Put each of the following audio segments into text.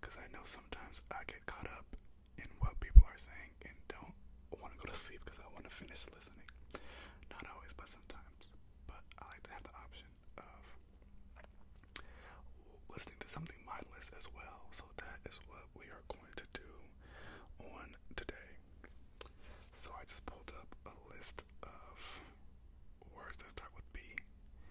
Because I know sometimes I get caught up in what people are saying and don't want to go to sleep because I want to finish listening. Not always, but sometimes. But I like to have the option of listening to something mindless as well. So that is what we are going to do on today. So I just pulled up a list of words that start with B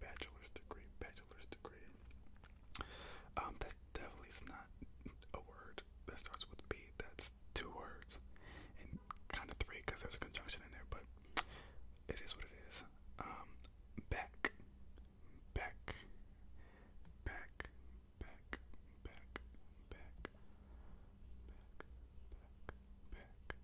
bachelor's degree, bachelor's degree. Um, that definitely is not a word that starts with B. That's two words, and kind of three because there's a conjunction in there. But it is what it is. Um, back, back, back, back, back, back, back, back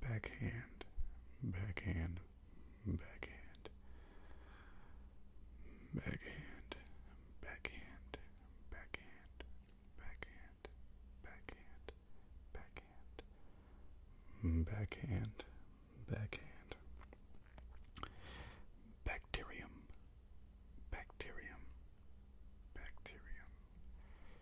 backhand, backhand, backhand, backhand, backhand, backhand, backhand, backhand, backhand, backhand, backhand, bacterium, bacterium, bacterium,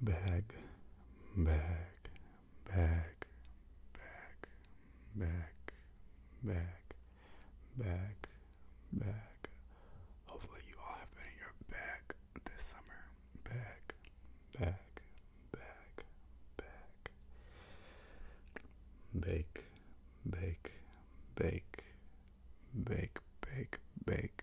bag, bag, bag, bag, bag, bag, bag, bag. Hopefully, you all have been in your bag this summer. Bag, bag, bag, bag. Bake, bake, bake, bake, bake, bake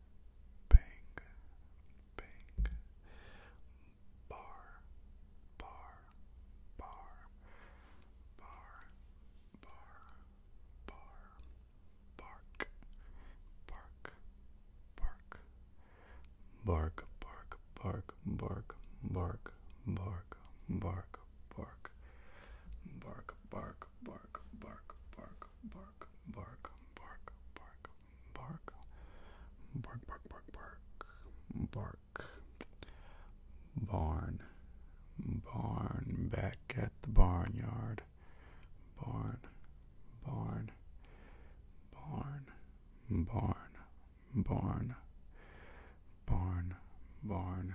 bang, bang, bar, bar, bar, bar, bar, bar, bark, bark, bark, bark, bark, bark, bark, bark, bark, bark, bark, bark, bark, bark, bark, bark, bark, bark, bark, bark, bark, bark, bark, bark, bark, bark, barn, barn, back at the barnyard, barn, barn, barn, barn, barn, barn, barn, barn,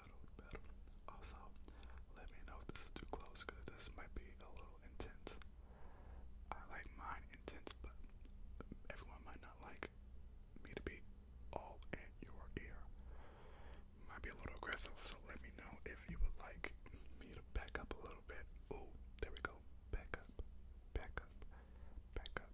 Also, let me know if this is too close, cause this might be a little intense. I like mine intense, but everyone might not like me to be all in your ear. Might be a little aggressive, so let me know if you would like me to back up a little bit. Oh, there we go. Back up, back up, back up,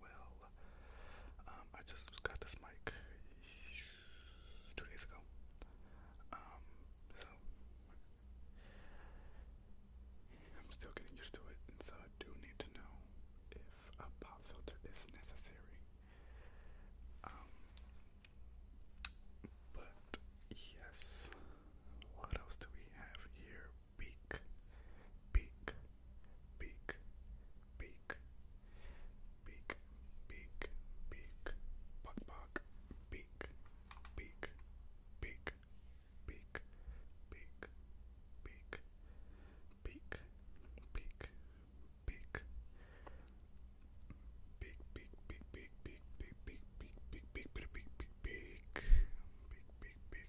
well. Um, I just got this mic two days ago. Um, so I'm still getting used to it, and so I do need to know if a pop filter is necessary. Um, but yes, what else do we have here? Beak, beak, beak, beak, beak, beak, beak, buck, buck, beak, beak, beak, beak, beak, beak, beak, beak, beak. Big, big, big, big, big, big, big, big, big, big, big, big, big, big, big, big, big,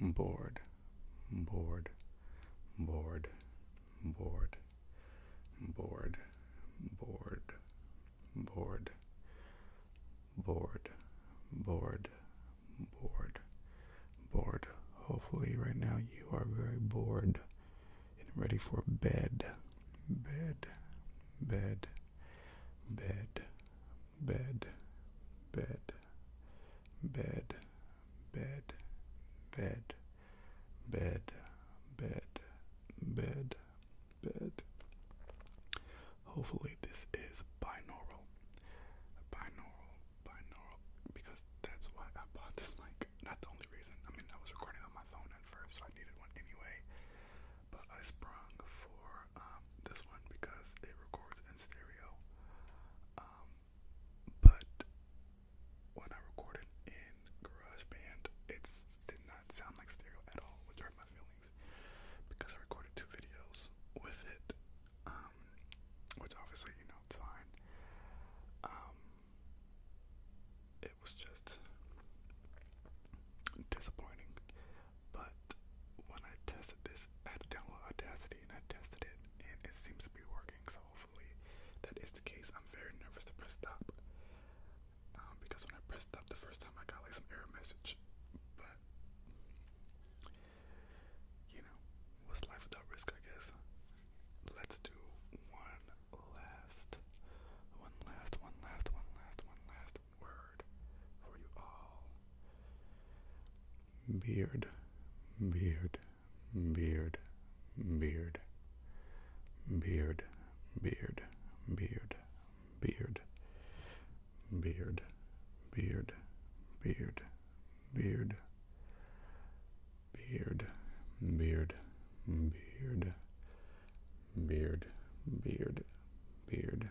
bored, bored, bored, bored, bored, bored, bored, bored, bored, bored, bored. Hopefully, right now you are very bored and ready for bed, bed, bed, bed, bed, bed, bed, bed, bed, bed, bed, bed, bed. Hopefully, this is binaural, binaural, binaural, because that's why I bought this mic. Not the only reason. I mean, I was recording on my phone at first, so I needed one anyway. But I sprung for for um, this one because it records in stereo. Um, but when I recorded in GarageBand, it did not sound like stereo at all, which hurt my feelings because I recorded two videos with it, um, which obviously, you know, it's fine. it was just disappointing. But when I tested this, I had to download Audacity and I tested it and it seems to be working. So hopefully that is the case. I'm very nervous to press stop um, because when I pressed stop the first time I got like some error message. But you know, what's life without risk? I guess. Let's do one last, one last, one last, one last, one last, last word for you all. Beard, beard, beard, beard, beard, beard, beard, beard, beard, beard, beard, beard, beard, beard, beard, beard, beard, beard,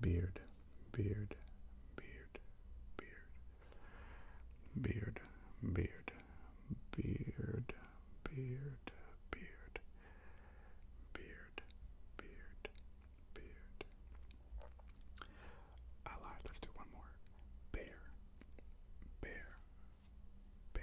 beard, beard, beard, beard, beard, beard, beard, beard, beard, beard, beard, beard. I lied. Let's do one more. Bear, bear, bear,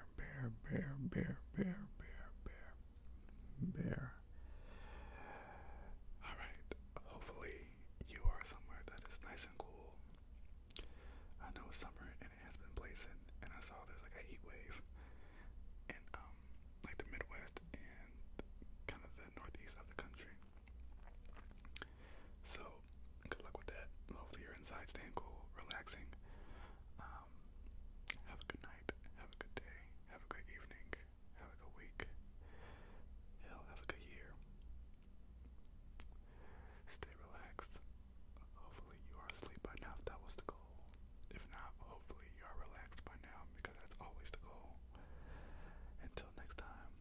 bear, bear, bear, bear, bear, bear, bear, Alright, hopefully you are somewhere that is nice and cool. I know it's summer and it has been blazing, and I saw there's like a heat wave in um, like the Midwest and kind of the Northeast of the country. So good luck with that. Hopefully you're inside staying cool, relaxing. Um, have a good night. Have a good day. Have a good evening. Have a good week. Hell, have a good year. Stay relaxed. Hopefully you are asleep by now if that was the goal. If not, hopefully you are relaxed by now because that's always the goal. Until next time,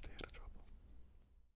stay out of trouble.